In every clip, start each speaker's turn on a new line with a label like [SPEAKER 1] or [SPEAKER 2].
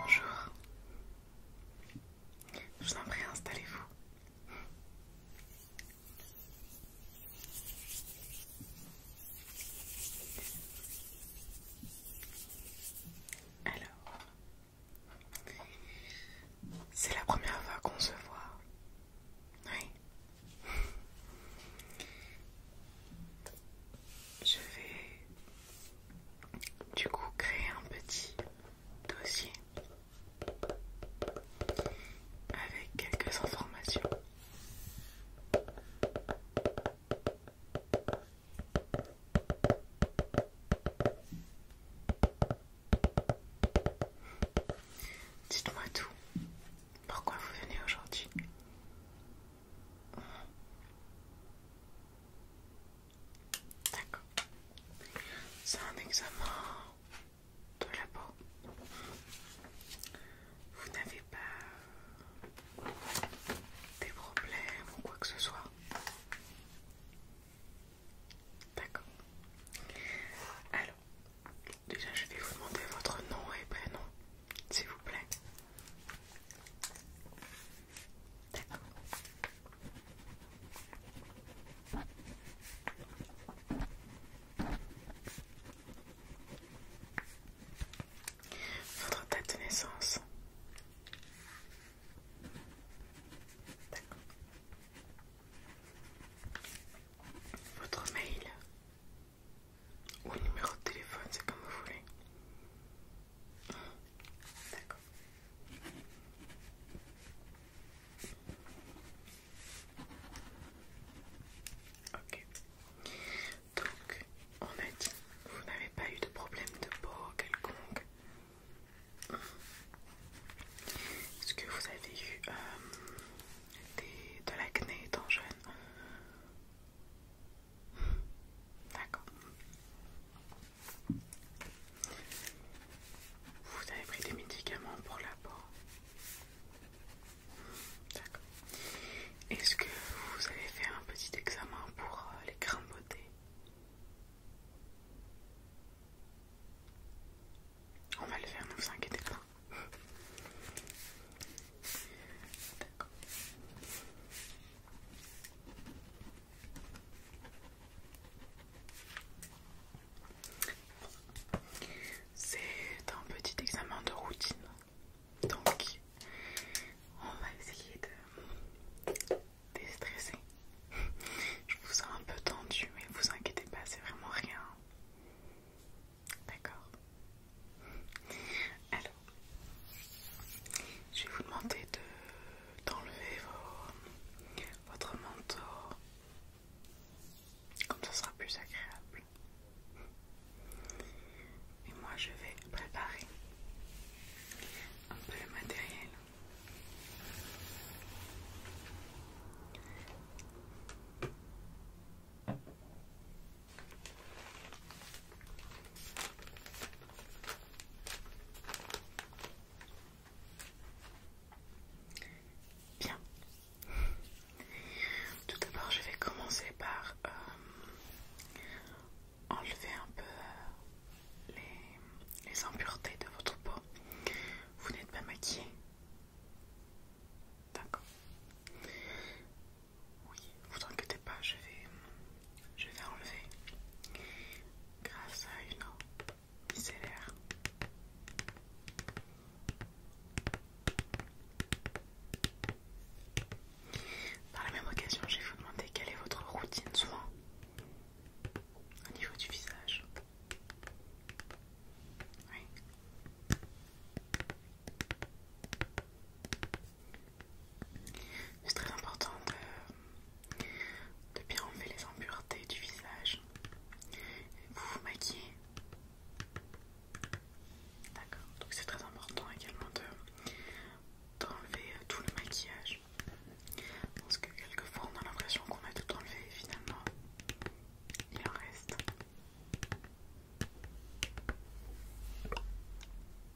[SPEAKER 1] Bonjour. Je vous en prie, installez-vous. Alors, c'est la première fois qu'on se voit. Oui je vais du coup créer un petit dossier avec quelques informations. Dites-moi tout. Pourquoi vous venez aujourd'hui D'accord. C'est un examen de la peau. Vous n'avez pas des problèmes ou quoi que ce soit. D'accord. Alors, déjà je vais vous demander votre nom et prénom, s'il vous plaît. Votre date de naissance. Votre mail. Ou numéro de téléphone, c'est comme vous voulez. D'accord. Ok. Donc, on a dit, vous n'avez pas eu de problème de peau quelconque. Est-ce que vous avez eu euh, de l'acné étant jeune D'accord. Vous avez pris des médicaments pour la peau D'accord. Est-ce que vous avez fait un petit examen pour euh, les grimbotés On va le faire, ne vous inquiétez pas. C'est un petit examen de routine. Donc, on va essayer de déstresser. Je vous sens un peu tendu, mais vous inquiétez pas, c'est vraiment rien. D'accord. Alors, je vais vous demander d'enlever votre manteau. Comme ça sera plus agréable. Et moi, je vais préparer un peu le matériel. Bien. Tout d'abord, je vais commencer par euh, enlever un peu euh, les, impuretés de votre peau. Vous n'êtes pas maquillé. D'accord. Oui, vous inquiétez pas, je vais, je vais enlever grâce à une micellaire. Par la même occasion, je vais vous demander quelle est votre routine soin au niveau du visage. Oui. C'est très important de, bien enlever les impuretés du visage. Vous vous maquillez. D'accord. Donc c'est très important également d'enlever euh, tout le maquillage. Parce que quelquefois on a l'impression qu'on a tout enlevé et finalement il en reste.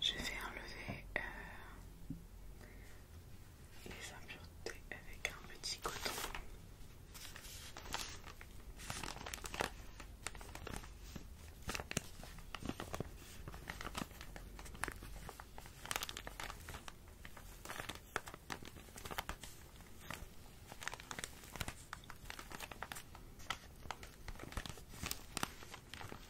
[SPEAKER 1] je vais enlever euh, les impuretés avec un petit coton.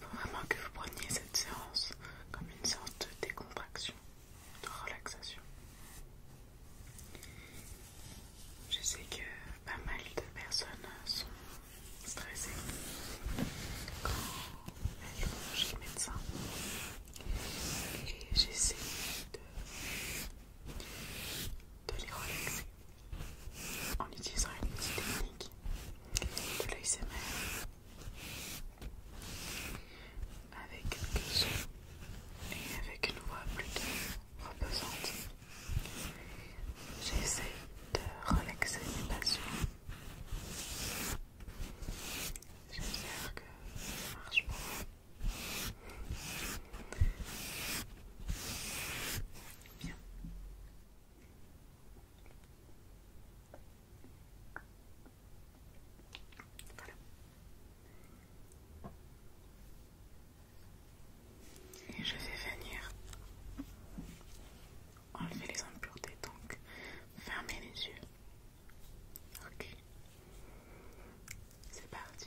[SPEAKER 1] Faut vraiment que vous preniez cette séance comme une séance de décontraction, de relaxation. Je sais que pas mal de personnes sont stressée quand elle va chez médecin et j'essaie de, les relaxer en utilisant une petite technique de l'ASMR avec quelques sons et avec une voix plutôt reposante J'essaie de relaxer mes passions. J'espère que ça marche pour vous. Bien. Et je vais venir enlever les impuretés, donc fermez les yeux. Ok, c'est parti.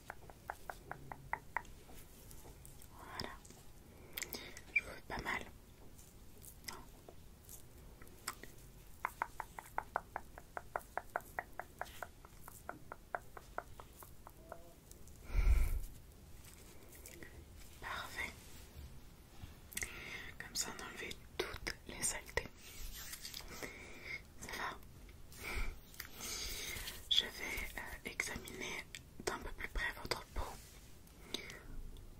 [SPEAKER 1] Voilà. Je vous pas mal. Parfait. Comme ça, on a toutes les saletés. Ça va Je vais euh, examiner d'un peu plus près votre peau.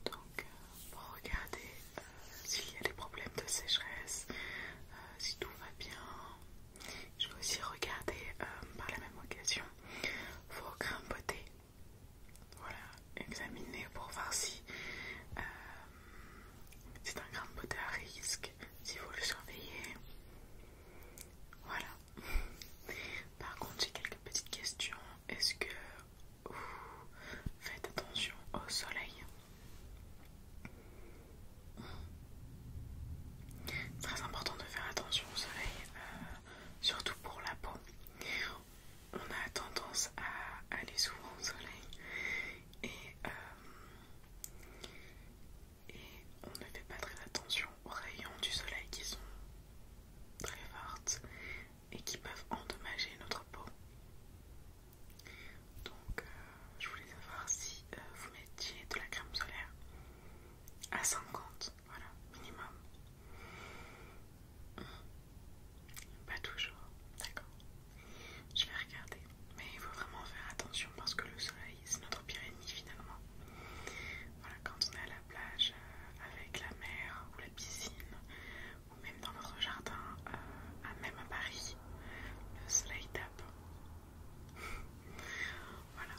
[SPEAKER 1] Donc, euh, pour regarder euh, s'il y a des problèmes de sécheresse, euh, si tout va bien. Je vais aussi regarder par la même occasion vos grains Voilà, examiner pour voir si c'est un grain à risque, si vous le surveillez. Voilà, par contre, j'ai quelques petites questions. Est-ce que vous faites attention au soleil Très important de faire attention au soleil, euh, surtout pour la peau. On a tendance à aller souvent au soleil et euh, et on ne fait pas très attention aux rayons du soleil qui sont très fortes et qui peuvent endommager notre peau. Donc euh, je voulais savoir si euh, vous mettiez de la crème solaire à 50, voilà, minimum. Hmm. Pas toujours, d'accord. Je vais regarder, mais il faut vraiment faire attention parce que le soleil, c'est notre pire ennemi finalement. Voilà, quand on est à la plage euh, avec la mer ou la piscine ou même dans votre jardin, euh, à même à Paris, le soleil tape. voilà.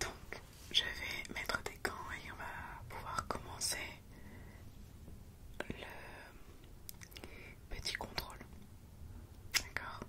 [SPEAKER 1] Donc, je vais mettre des gants et on va pouvoir commencer le petit contrôle. D'accord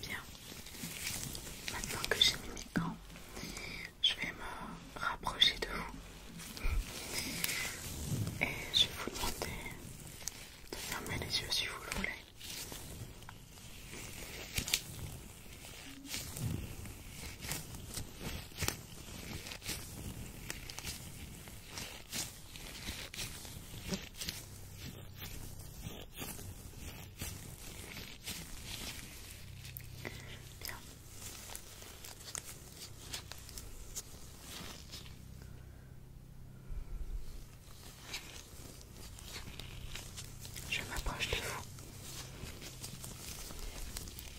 [SPEAKER 1] Bien, maintenant que j'ai mis mes gants, je vais me rapprocher de vous et je vais vous demander de fermer les yeux si vous le voulez. Je m'approche de vous.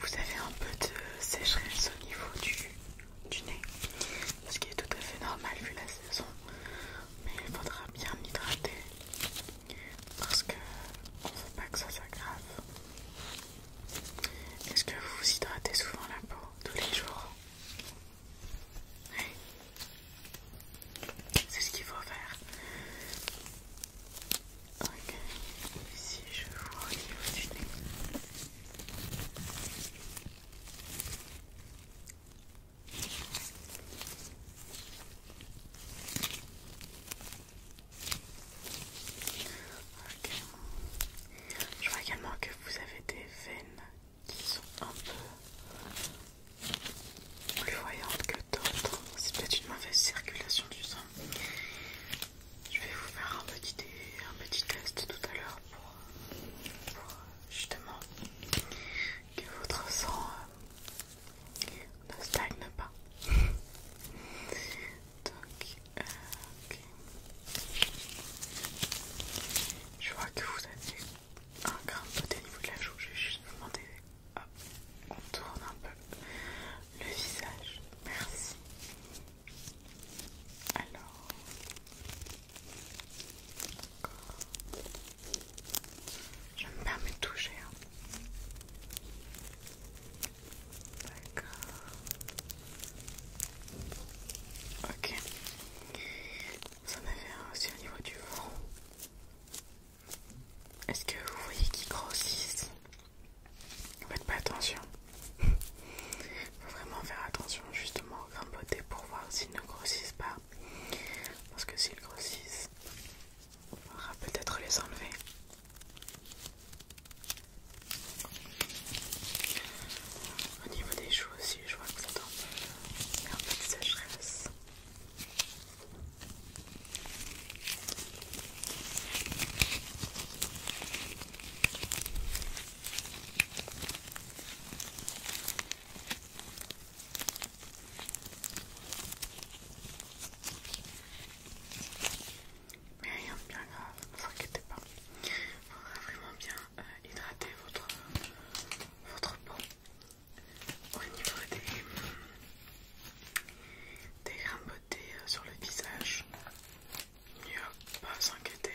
[SPEAKER 1] Vous avez un peu de sécheresse au niveau du, du nez, ce qui est tout à fait normal vu la saison, mais il faudra bien l'hydrater parce que on veut pas que ça s'aggrave. Est-ce que vous vous hydratez souvent la peau tous les jours oui. C'est ce qu'il faut faire. Ok, ici je vois Ok, je vois également que vous avez des veines qui sont un peu plus voyante que d'autres. C'est peut-être une mauvaise circulation du sang. Je vais vous faire un petit, test tout à l'heure pour, justement que votre sang euh, ne stagne pas. Donc, euh, Je vois que vous avez un grain de au niveau de la joue. Je vais juste vous demander Hop, on tourne un peu le visage. Merci. Alors, je me permets de toucher. Hein. D'accord. Ok. Vous en avez un aussi au niveau du front. Est-ce que vous voyez qu'ils grossissent Faites pas attention. Faut vraiment faire attention justement au beauté pour voir s'ils ne grossissent pas. Parce que s'ils grossissent, on va peut-être les enlever. Au niveau des joues aussi, je vois que ça tombe. un peu de sécheresse. Mais rien de bien grave, ne vous inquiétez pas. Il faudra vraiment bien euh, hydrater votre, votre peau au niveau des, des grains beauté euh, sur le visage. Mieux pas s'inquiéter.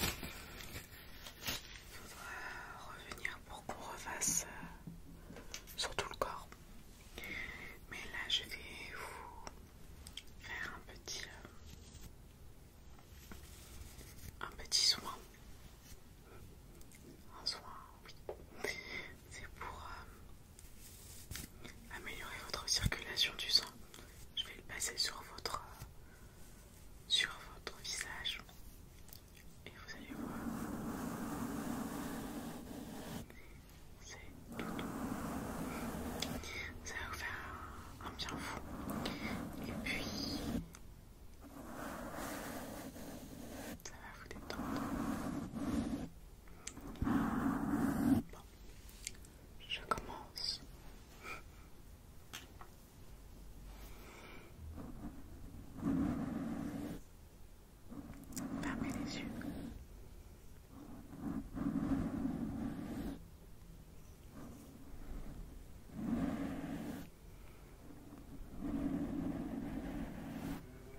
[SPEAKER 1] Il faudra revenir pour qu'on refasse euh, sur tout le corps. Mais là, je vais vous faire un petit, euh, un petit soin, un soin c'est pour euh, améliorer votre circulation du sang. Je vais le passer sur votre, sur votre visage. Et vous allez voir. C'est tout. Ça va vous faire un bien fou. Et puis... Ça va vous détendre je commence. Fermez les yeux.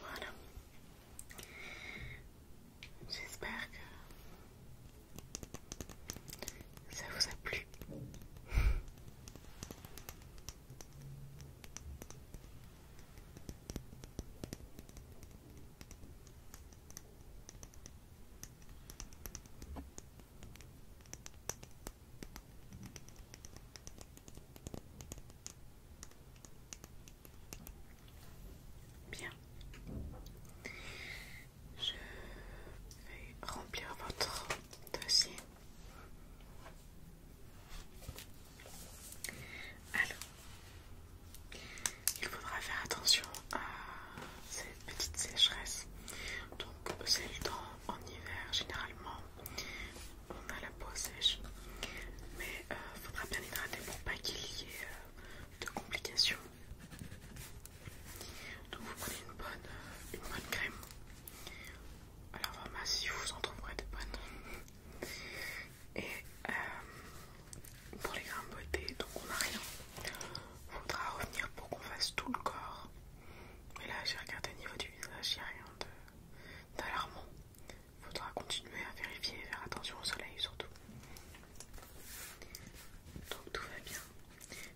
[SPEAKER 1] Voilà. J'espère que ça vous a plu. Bien. Je vais remplir votre dossier. Alors, il faudra faire attention à cette petite sécheresse. Donc, c'est le temps en hiver, généralement, on a la peau sèche. Mais il euh, faudra bien hydrater pour pas qu'il y ait euh, de complications. Donc, vous prenez une bonne, euh, une bonne crème. Alors, vraiment, si vous en trouverez des bonnes. Et euh, pour les grains beauté, donc on n'a rien. il Faudra revenir pour qu'on fasse tout le corps. Mais là, j'ai regardé au niveau du visage, il n'y a rien d'alarmant. Il Faudra continuer à vérifier et faire attention au soleil surtout. Donc tout va bien.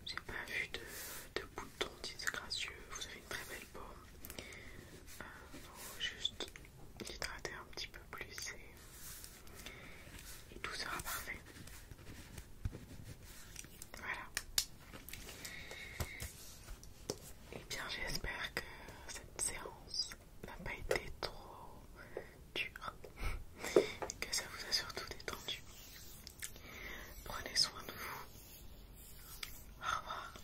[SPEAKER 1] J'ai pas vu de, de boutons disgracieux. Vous avez une très belle peau. Euh, juste l'hydrater un petit peu plus et, tout sera parfait. Voilà. Et eh bien j'espère que cette séance n'a pas été trop dure et que ça vous a surtout détendu. Prenez soin de vous. Au revoir.